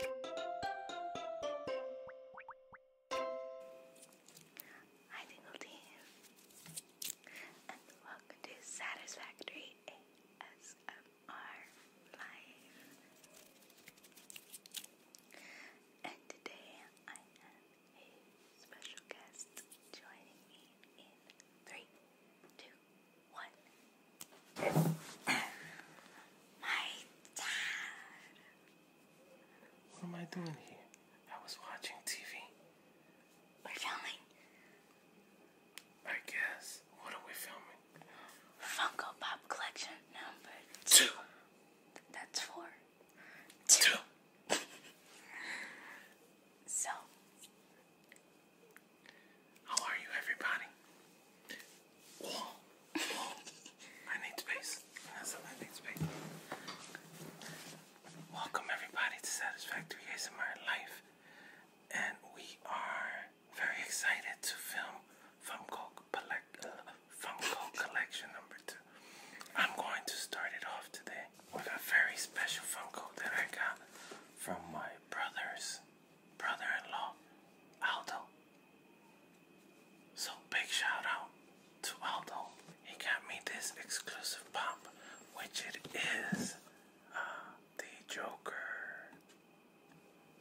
Hi, Tingle welcome to Satisfactory ASMR And today I have a special guest joining me in three, two, what? My dad. What am I doing here? I was watching TV. We're filming. I guess. What are we filming? Funko Pop Collection number two. That's four. two. so, how are you, everybody? I need space. That's all I need space. Welcome, everybody, to Satisfactory ASMR Life. And we are very excited to film Funko, uh, Funko Collection number two. I'm going to start it off today with a very special Funko that I got from my brother's brother-in-law, Aldo. So big shout out to Aldo. He got me this exclusive pump, which it is uh, the Joker.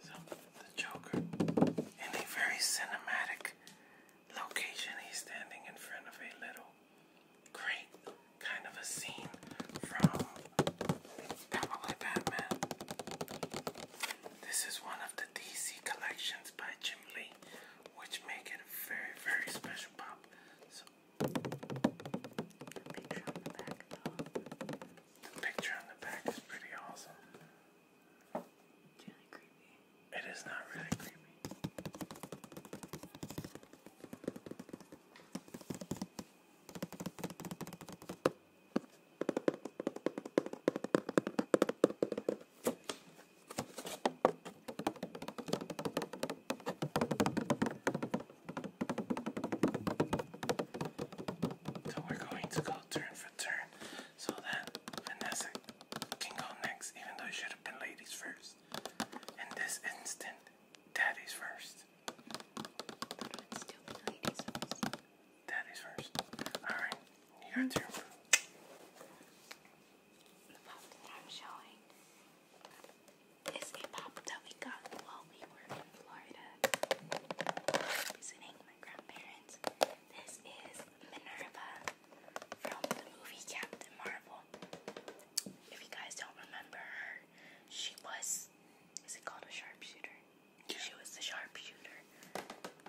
So the Joker in a very cinematic location. He's standing in front of a little crate kind of a scene from Batman. This is one of the DC collections by Jim Lee, which make it a very, very special pop. the picture on the back, is pretty awesome. It's It is not really creepy. So we're going to go turn for turn so that Vanessa can go next, even though it should have been ladies first. In this instant, daddy's first. That first. That is first. Alright, you got The pop that I'm showing is a pop that we got while we were in Florida visiting my grandparents. This is Minerva from the movie Captain Marvel if you guys don't remember her, she was is it called a sharpshooter? She was the sharpshooter.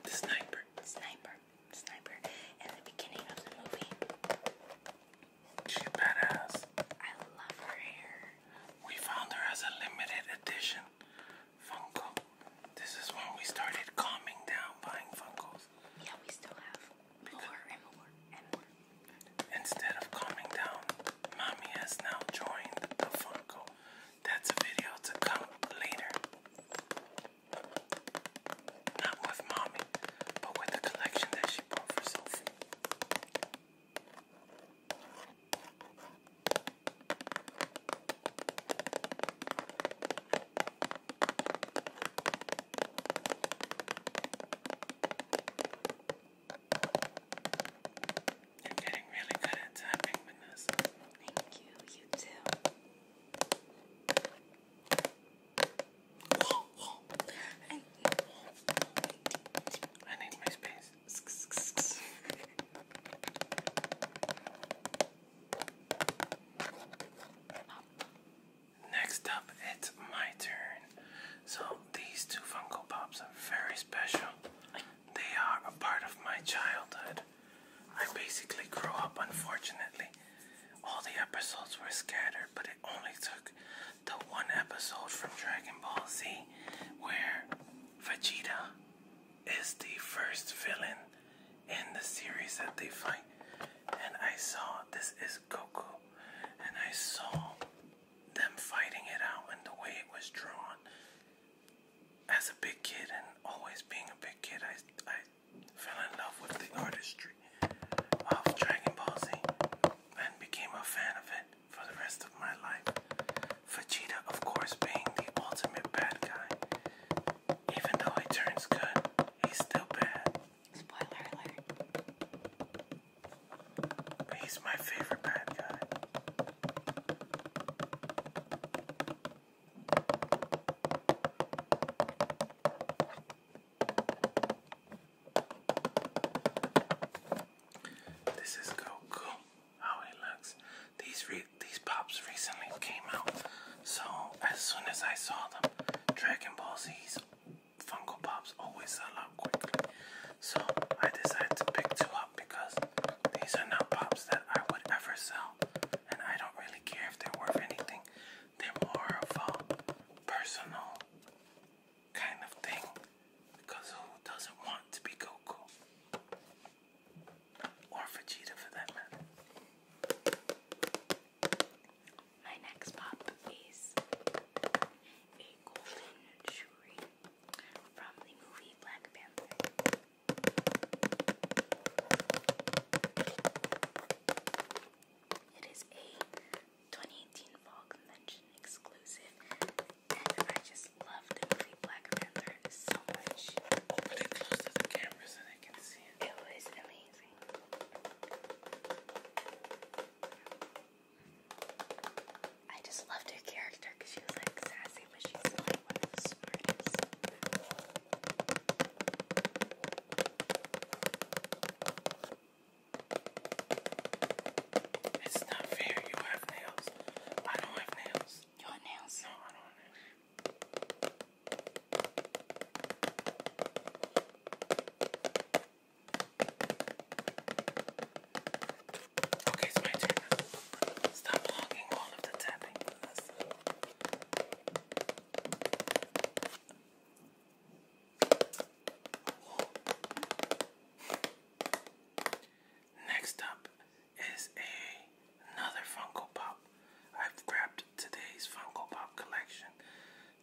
The sniper. Sniper. Sniper. At the beginning of the movie. She's badass. I love her We found her as a limited edition Funko. This is when we started calming down buying Funkos. Yeah, we still have Instead of calming down, mommy has now joined the Funko. That's a video to come later. Not with mommy, but with the collection that she bought for you're getting really good at tapping, Vanessa. Thank you, you too. I need my space. Next up, it's my turn. So, these two Funko Pops are very special. They are a part of my childhood. I basically grew up, unfortunately. All the episodes were scattered, but it only took the one episode from Dragon Ball Z where Vegeta is the first villain in the series that they fight. And I saw this is Goku, and I saw them fighting it out and the way it was drawn. As a big kid, and always being a big kid, I, I fell in love with the artistry of Dragon Ball Z and became a fan of it for the rest of my life. Vegeta, of course, being the ultimate bad guy, even though he turns good He's still bad. Spoiler alert. But he's my favorite bad guy. This is Goku, how he looks. These re these pops recently came out. So as soon as I saw them, Dragon Ball Z's Funko Pops always sell out quickly. So I decided to pick two up because these are not pops that I would ever sell. And I don't really care if they're worth anything. They're more of a personal kind of thing. Because who doesn't want to be Goku? Or Vegeta for that matter. My next pop is a golden jewelry from the movie Black Panther. It is a 2018 Fall Convention exclusive, and I just love love the movie Black Panther so much. Hold it close to the camera so they can see it. was amazing. I just loved her character because she was like sassy, but she's like one of the smartest. It's not fair. You have nails. I don't have nails. You nails? No, Okay, it's my turn now. Stop blocking all of the tapping for us. Whoa. Next up is a, another Funko Pop. I've grabbed today's Funko Pop collection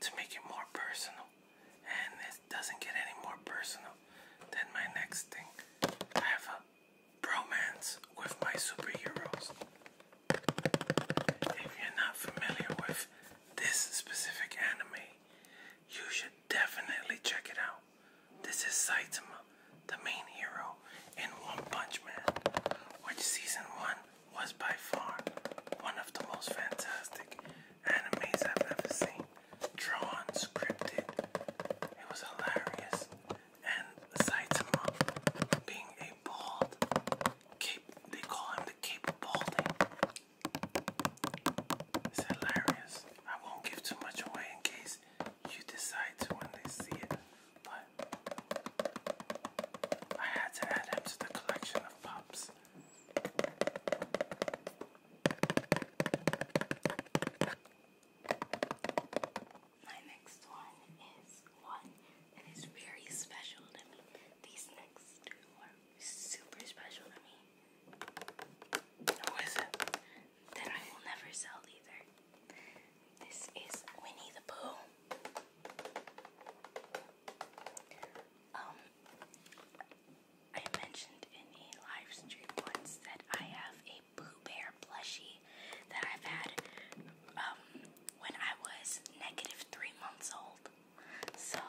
to make it more personal, and it doesn't get any more personal than my next thing. I have a bromance with my superheroes. If you're not familiar with this specific anime, you should definitely check it out. This is Saitama, the main hero in One Punch Man, which season 1 was by far one of the most fantastic animes I've ever seen. Drawn, scripted, it was hilarious, and Saitama being a bald they call him the Cape Balding. It's hilarious. I won't give too much away in case you decide to when they see it, but I had to add him to the collection of pops. My next one is one that is very special to me. These next two are super special to me. That I will never sell either. This is Winnie the Pooh. Um, I mentioned in a live stream once that I have a Pooh Bear plushie that I've had um, when I was negative three months old. So,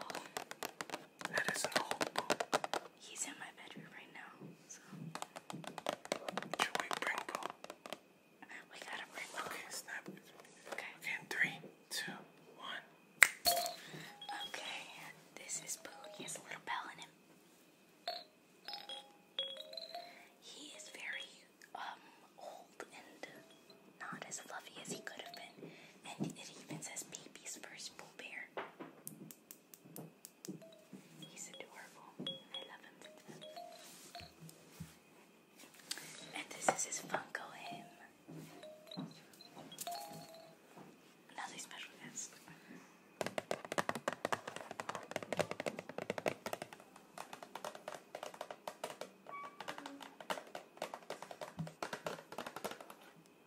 that is in the book. He's in my bedroom right now, we gotta bring Okay, snap. Okay. in three, two, one. Okay, this is Boo. He has a little bell in him. He is very um old and not as fluffy as he could have been, and it even says baby's first Pooh Bear. He's adorable. I love him And this is his Funko him. Another special guest.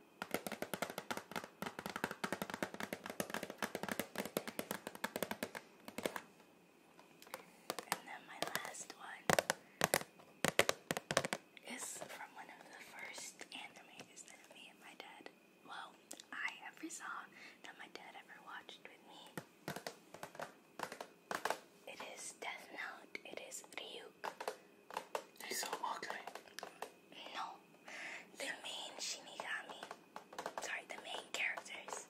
And then my last one is from one of the first animes that me and my dad, well, I ever saw that my dad ever watched with me. It is Death Note. It is Ryuk. He's so ugly. No, the main Shinigami, sorry, the main characters,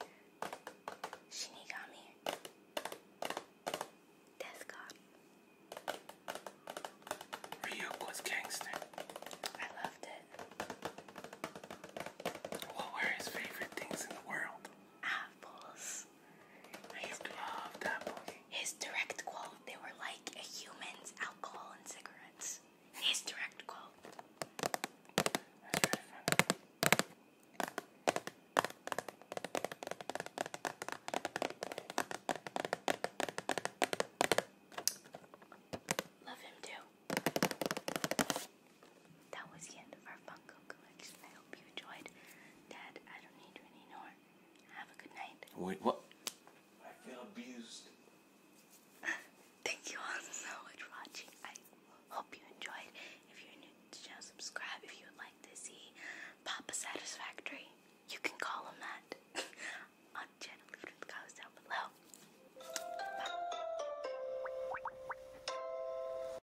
Shinigami, Death God. Ryuk was gangster. I loved it. What were his favorite things in the world? Apples. His direct quote, they were like a human's alcohol and cigarettes. His direct quote. Love him too. That was the end of our fun I hope you enjoyed. Dad, I don't need you anymore. Have a good night. Wait, what? I feel abused. Thank you all so much for watching. I hope you enjoyed. If you're new to the channel, subscribe. If you would like to see Papa Satisfactory, you can call him that on channel. Leave it comments down below. Bye.